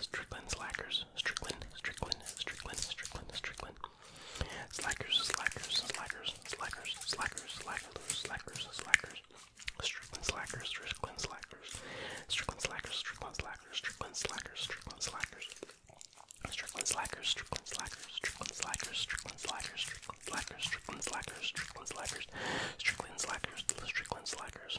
Strickland slackers. Strickland, Strickland, Strickland, Strickland, Strickland. Slackers, slackers, slackers, slackers, slackers, slackers, slackers, slackers. Strickland slackers, Strickland slackers, Strickland slackers, Strickland slackers, Strickland slackers, Strickland slackers. Strickland slackers, Strickland slackers, Strickland slackers, Strickland slackers, Strickland slackers, Strickland slackers, Strickland slackers, Strickland slackers, Strickland slackers,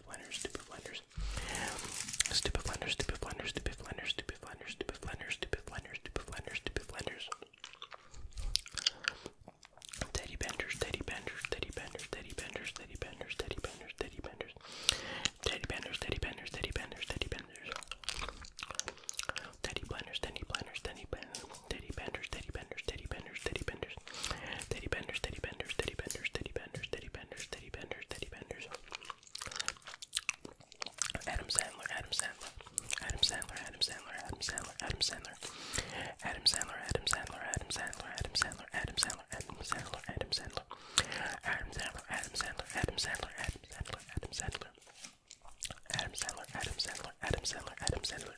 stupid blender, stupid blenders. Stupid blender, stupid blender, stupid blender, stupid blender, stupid blender, stupid blender, stupid blender, stupid blenders. Teddy benders, teddy benders, teddy benders, teddy benders, teddy benders, teddy benders, teddy benders. Teddy benders, teddy benders, teddy benders, teddy benders. Teddy blenders, teddy blenders, teddy benders, teddy benders, teddy benders, teddy benders, teddy benders, teddy benders, teddy benders, teddy benders, teddy benders, teddy benders, teddy benders, teddy benders. Adam Sandler, Adam Sandler, Adam Sandler, Adam Sandler, Adam Sandler, Adam Sandler, Adam Sandler, Adam Sandler, Adam Sandler, Adam Sandler, Adam Sandler, Adam Sandler, Adam Sandler, Adam Sandler, Adam Sandler, Adam Sandler, Adam Sandler, Adam Sandler. Adam Sandler, Adam Sandler, Adam Sandler, Adam Sandler,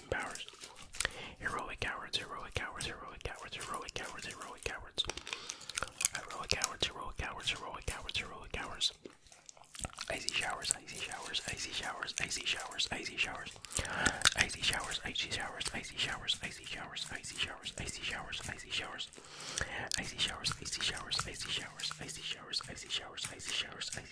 amazing powers. Heroic cowards, heroic cowards, heroic cowards, heroic cowards, heroic cowards. Heroic cowards, heroic cowards, heroic cowards, heroic cowards. Icy showers, icy showers, icy showers, icy showers, icy showers. Icy showers, icy showers, icy showers, icy showers, icy showers, icy showers, icy showers. Icy showers, icy showers, icy showers, icy showers, icy showers, icy showers, icy showers, icy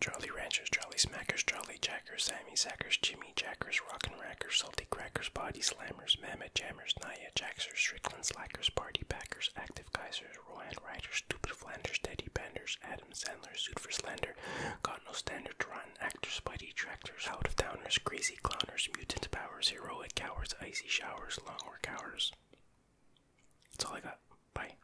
Jolly Ranchers, Jolly Smackers, Jolly Jackers, Sammy zackers, Jimmy Jackers, Rockin' Rackers, Salty Crackers, Body Slammers, Mammoth Jammers, Nia Jaxers, Strickland Slackers, Party Packers, Active Kaisers, Rohan Riders, Stupid Flanders, Teddy Benders, Adam Sandler, Suit for Slender, Got No Standard, Run, Actors, Spidey Tractors, Out of towners, Crazy Clowners, Mutant Powers, Heroic Cowards, Icy Showers, long Longwork Hours. That's all I got. Bye.